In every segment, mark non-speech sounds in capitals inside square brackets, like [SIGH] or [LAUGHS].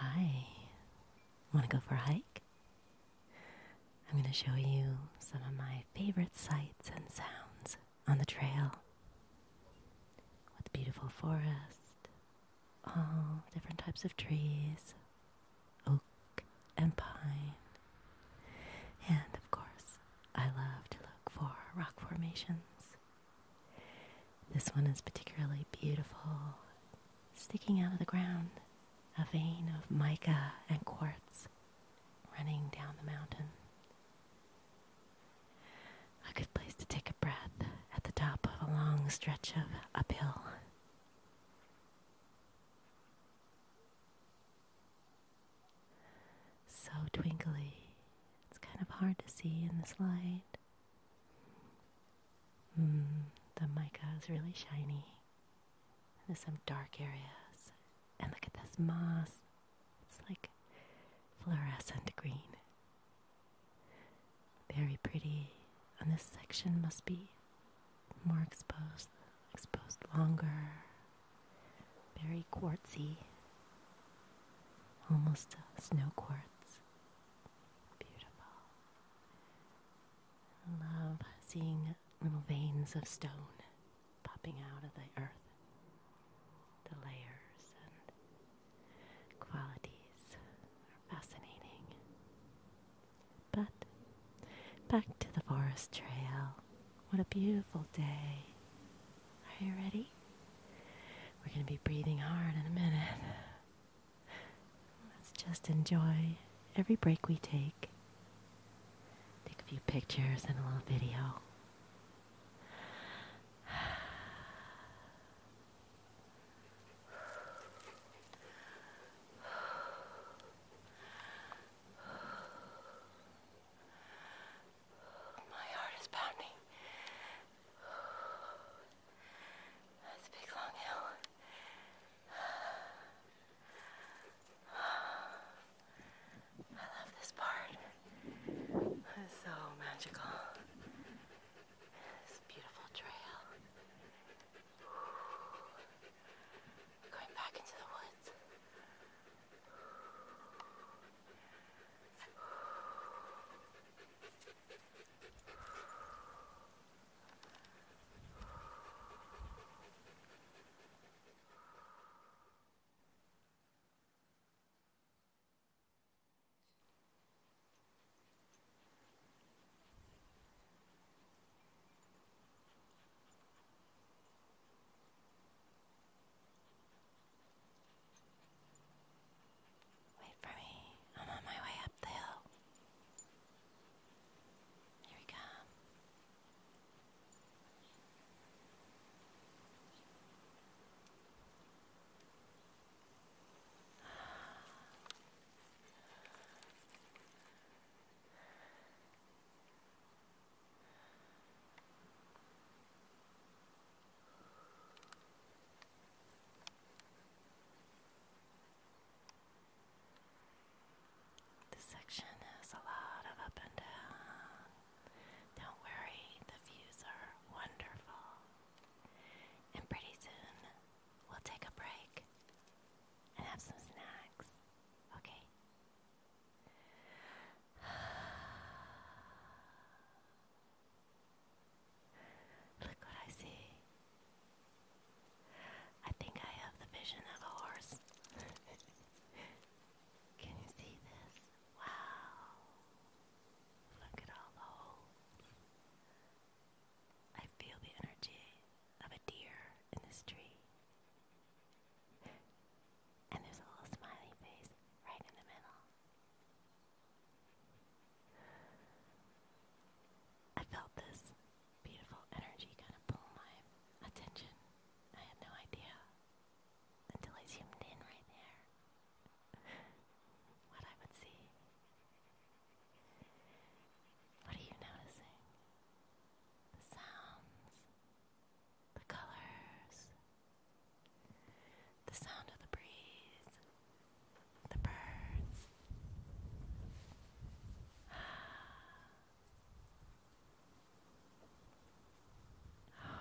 Hi, want to go for a hike? I'm going to show you some of my favorite sights and sounds on the trail with beautiful forest, all different types of trees oak and pine. And of course, I love to look for rock formations. This one is particularly beautiful, sticking out of the ground, a vein of mica and quartz running down the mountain. A good place to take a breath at the top of a long stretch of uphill. So twinkly. It's kind of hard to see in this light. Hmm, the mica is really shiny. There's some dark areas. And look at this moss. It's like fluorescent green. Very pretty. And this section must be more exposed, exposed longer. Very quartzy. Almost snow quartz. Beautiful. love seeing little veins of stone popping out of the earth. The layers and qualities are fascinating. But back to the forest trail. What a beautiful day. Are you ready? We're going to be breathing hard in a minute. Let's just enjoy every break we take. Take a few pictures and a little video. My heart is pounding. That's a big long hill. I love this part. It's so magical this beautiful trail. Ooh. Going back into the woods. Wait for me. I'm on my way up the hill. Here we come. This section has a lot of up and down. Don't worry, the views are wonderful. And pretty soon, we'll take a break and have some snacks, okay? [SIGHS] Look what I see. I think I have the vision of a horse. [LAUGHS] Can you see this? Wow. Look at all the holes. I feel the energy of a deer in this tree. And there's a little smiley face right in the middle. I felt this beautiful energy kind of pull my attention. I had no idea until I zoomed in right there what I would see. What are you noticing? The sounds, the colors, the sound of the breeze, the birds.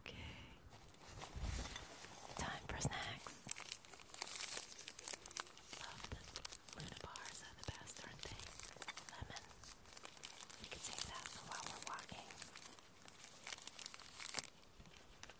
Okay. Time for snacks. Luna bars are the best, aren't they? Lemon. You can take that for while we're walking.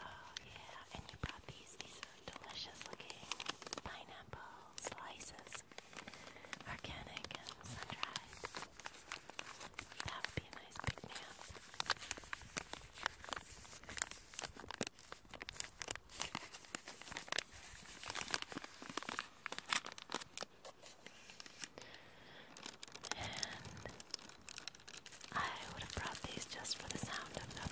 Oh yeah, and you brought these. These are delicious looking pineapple slices. Organic and sun-dried. That would be a nice pick me and I would have brought these just for the sound of them.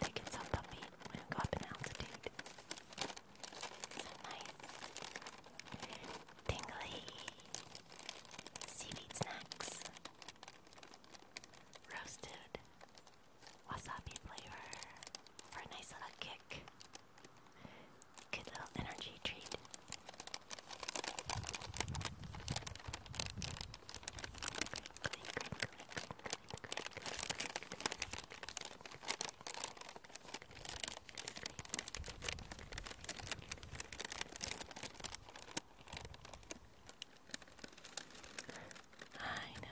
they get so puffy when you go up in altitude. nice. Tingly seaweed snacks roasted wasabi flavor for a nice little kick. Good little energy treat. I know.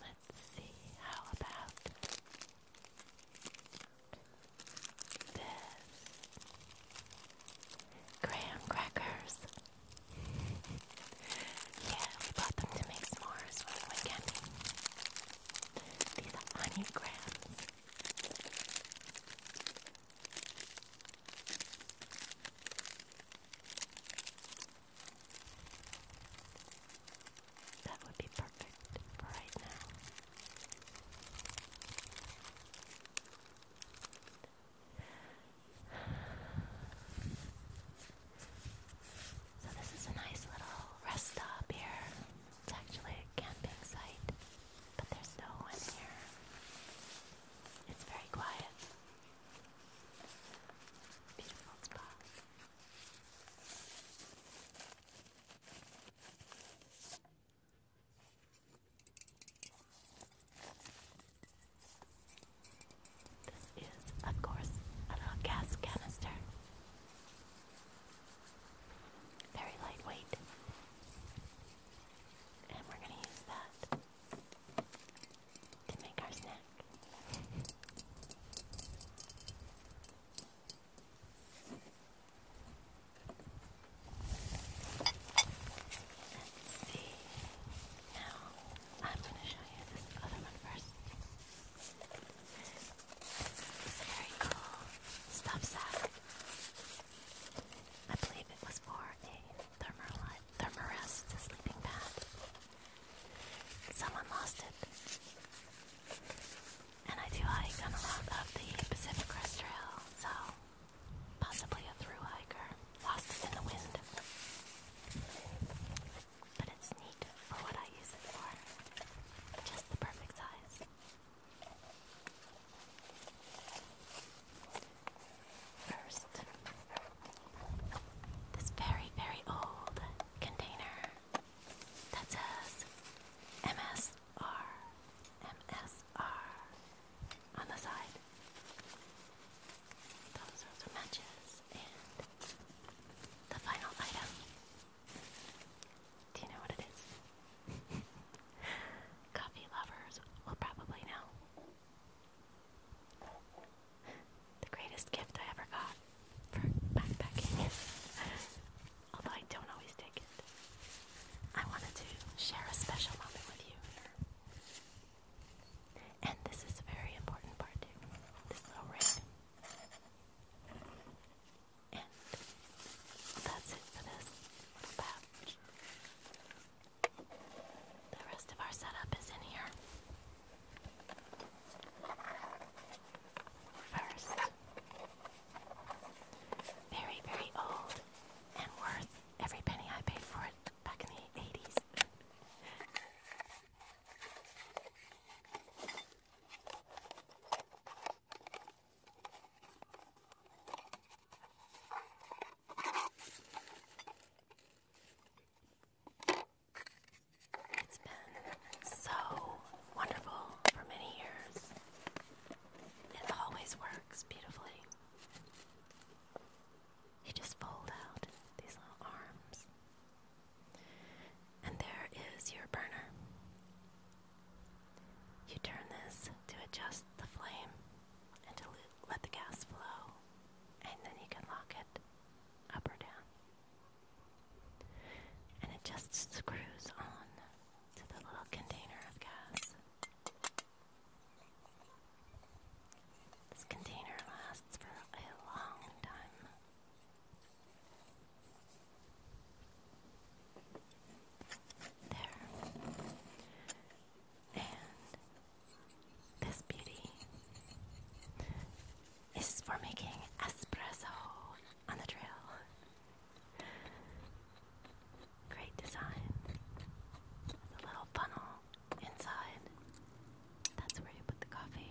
Let's see, how about this? Graham crackers. yeah, we bought them to make s'mores when we went These are onion grams. That would be perfect for right now. So, this is a nice little rest stop here. It's actually a camping site. But there's no one here. It's very quiet. Beautiful spot. This is, of course, a little gas canister. Very lightweight. And we're going to use that to make our snack. Let's see. Now, I'm going to show you this other one first. This is very cool stuff sack. I believe it was for a thermarest sleeping pad. Someone lost it. And I do hike on a lot of the Pacific Crest Trail, so possibly a through hiker lost it in the wind. But it's neat for what I use it for. Just the perfect size. First, this very, very old container that says MSR, MSR on the side. Those are the matches and the final item do you know what it is? [LAUGHS] Coffee lovers will probably know. The greatest gift I ever got for backpacking. [LAUGHS] Although I don't always take it. I wanted to share a special moment with you And this is a very important part too. This little ring. And that's it for this pouch. The rest of our setup is in here. First, very, very old and worth every penny I paid for it back in the 80s. It's been so wonderful for many years. It always works beautifully. You just fold out these little arms. And there is your burner. You turn this to adjust the flame and to let the gas flow, and then you can lock it up or down. And it just screws on to the little container of gas. This container lasts for a long time. There. And this beauty is for making espresso on the trail. Great design. The little funnel inside. That's where you put the coffee.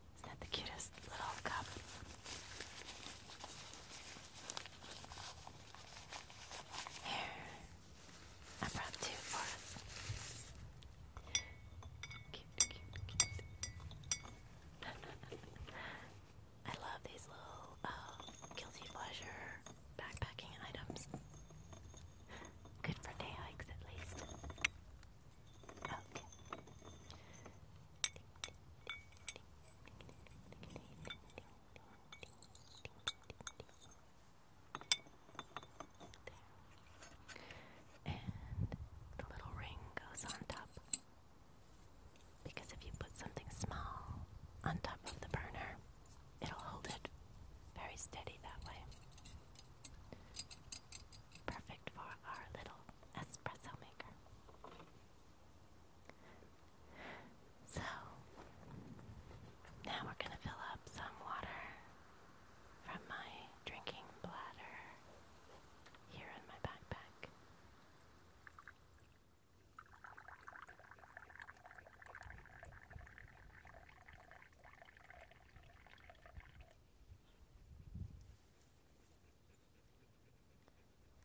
Isn't that the cutest little cup? Here, I brought two for us. Cute, cute, cute. I love these little uh, guilty pleasure backpacking items. Good for day hikes, at least. Okay. And the little ring goes on top. Because if you put something small on top of the burner, it'll hold it very steady that way. Perfect for our little espresso maker. So, now we're going to fill up some water from my drinking bladder here in my backpack.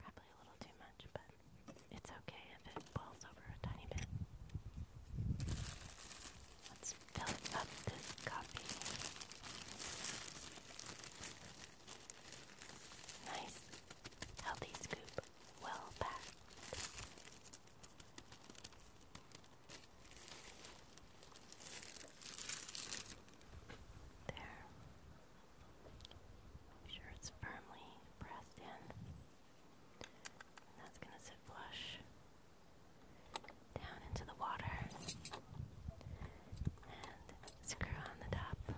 Probably a little too much, but it's okay if it boils over a tiny bit. Let's fill up this coffee. Nice, healthy scoop, well packed. There. Make sure it's firmly pressed in. that's going to sit flush down into the water. And screw on the top.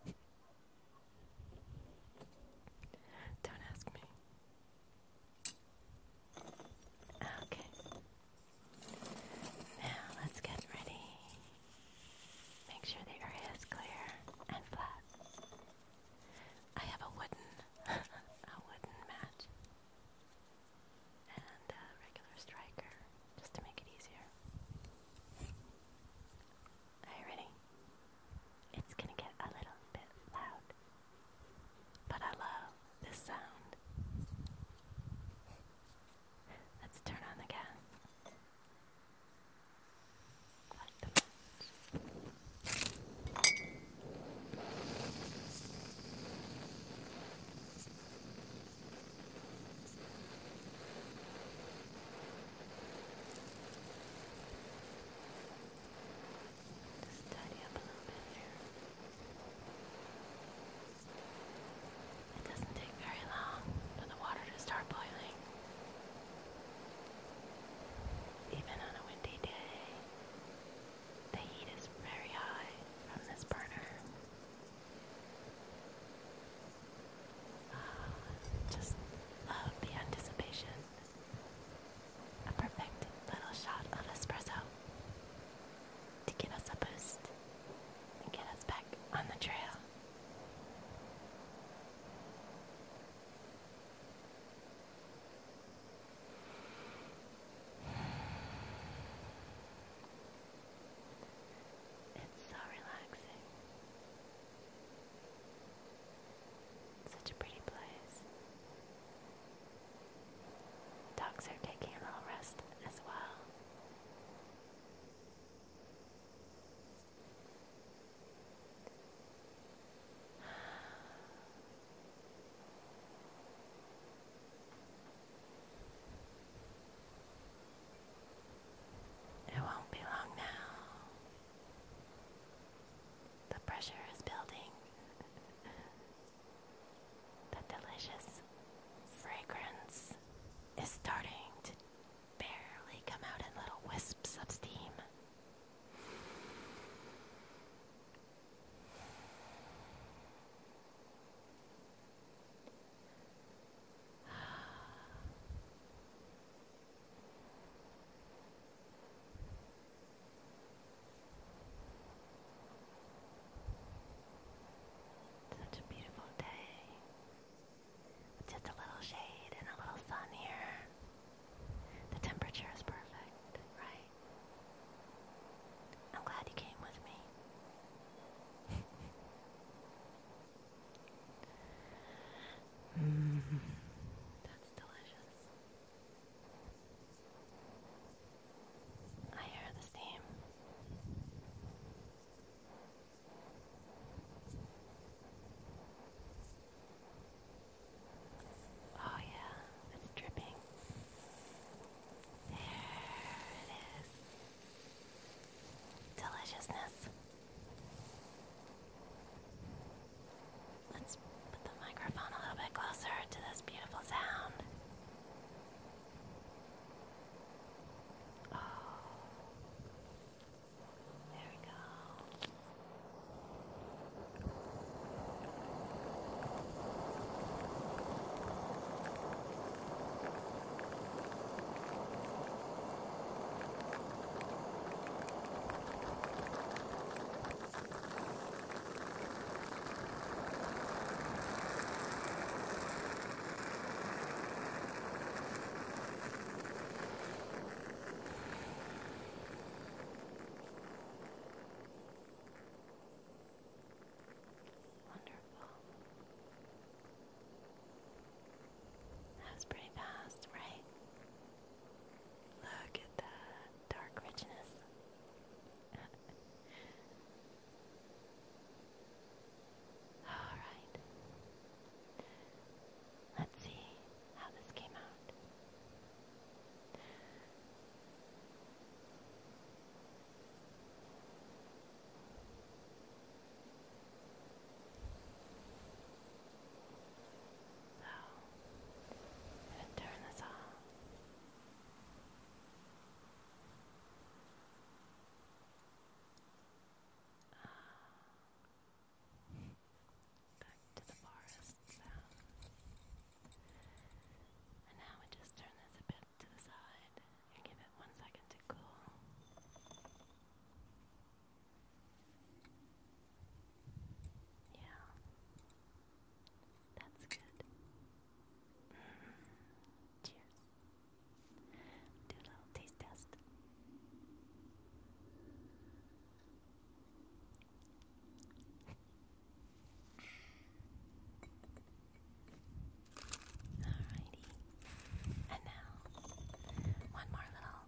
[LAUGHS] Don't ask me. Okay. Now let's get ready. Make sure the area is clear and flat. I have a wooden, [LAUGHS] a wooden match and a regular striker just to make it easier. Are you ready? It's gonna get a little bit loud, but I love this sound. Let's turn on the gas. Light the match. It doesn't take very long for the water to start boiling. Even on a windy day, the heat is very high from this burner. Ah, just love the anticipation a perfect little shot of espresso to get us a boost and get us back on the trail. It's so relaxing. Such a pretty place. Dogs are taking a little rest as well. It won't be long now. The pressure is building. the delicious fragrance is starting to barely come out in little wisps of steam. Such a beautiful day. just a little shade and a little sun here. The temperature is perfect, right? I'm glad you came with me. [LAUGHS] Mmm, that's delicious. I hear the steam. Oh, yeah, it's dripping. There it is. Deliciousness. Let's put the microphone a little bit closer to this beautiful sound. Oh. There we go. Wonderful. That was pretty fast, right? Look at that dark richness. [LAUGHS] All right. Let's see how this came out. So, I'm turn this off. Uh, back to the forest sound. And now we just turn this a bit to the side and give it one second to cool. Yeah. That's good. Mm-hmm. Cheers. Do a little taste test. Alrighty. And now, one more little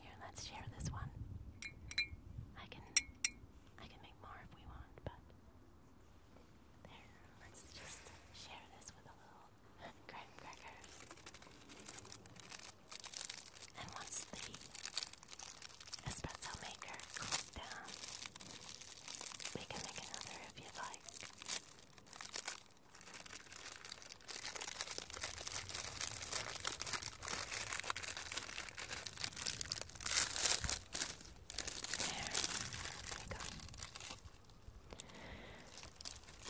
here, let's share this one. I can I can make more if we want, but there, let's just share this with a little [LAUGHS] graham crackers. And once the espresso maker we can make another if you'd like we go.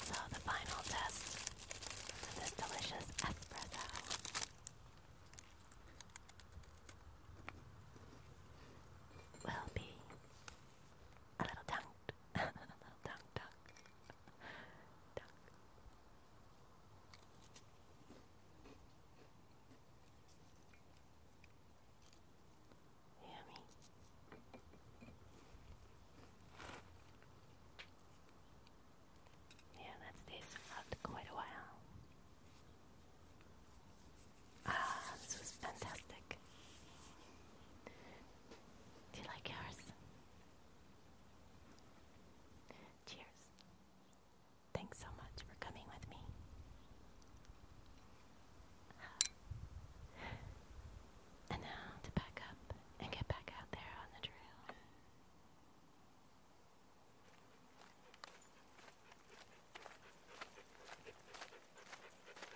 So the final test to this delicious espresso. Will be a little [LAUGHS] tongue, duck, duck. Yeah, that stays out quite a while. Ah, this was fantastic. Do you like yours? Cheers. Thanks so much for coming with me. And now to back up and get back out there on the trail.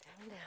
Down, down, down.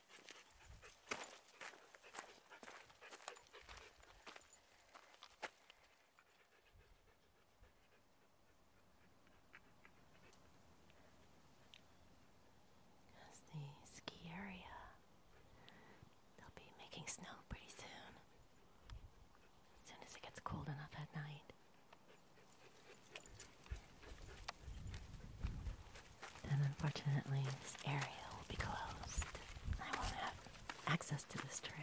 That's the ski area. They'll be making snow pretty soon. As soon as it gets cold enough at night. And unfortunately, this area will be closed. I won't have access to this trail.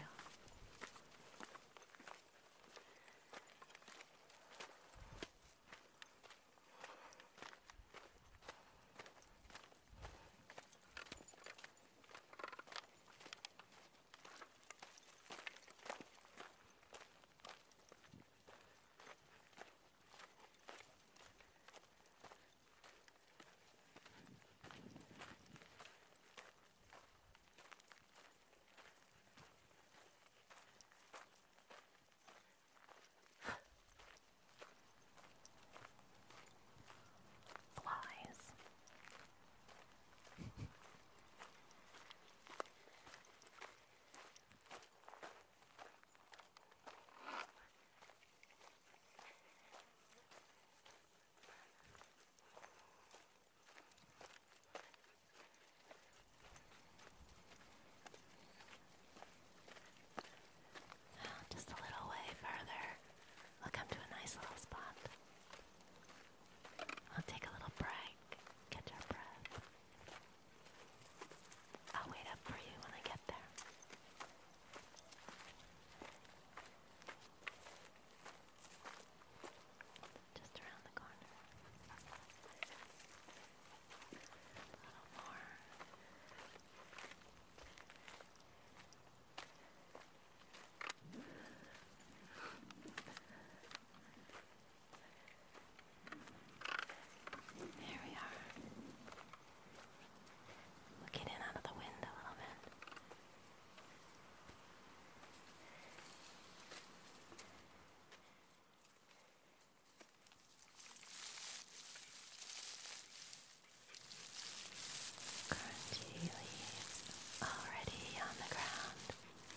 Flies. Oh, just a little way further. We'll come to a nice little spot. I'll take a little break, catch our breath. I'll wait up for you when I get there. Just around the corner. A little more. There we are. Looking in out of the wind a little bit. Crunchy leaves already on the ground.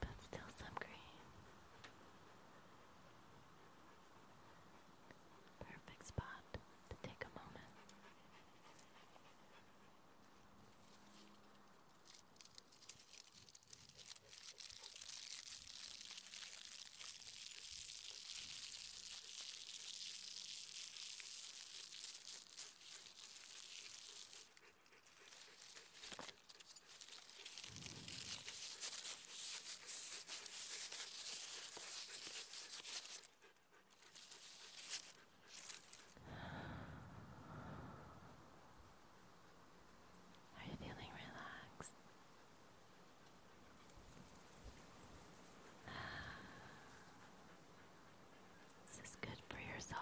But still some green. Perfect spot to take a moment. Are you feeling relaxed? This is good for your soul.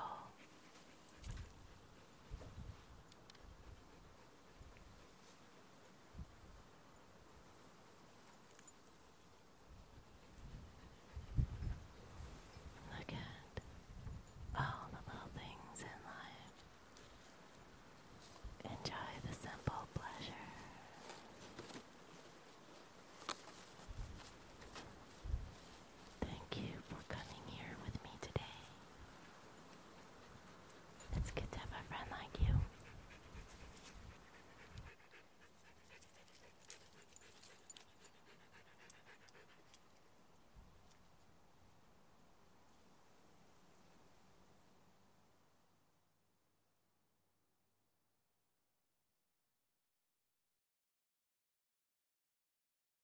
Look at all the little things in life. Enjoy the simple pleasure. Thank you for coming here with me today. It's good to have a friend like you.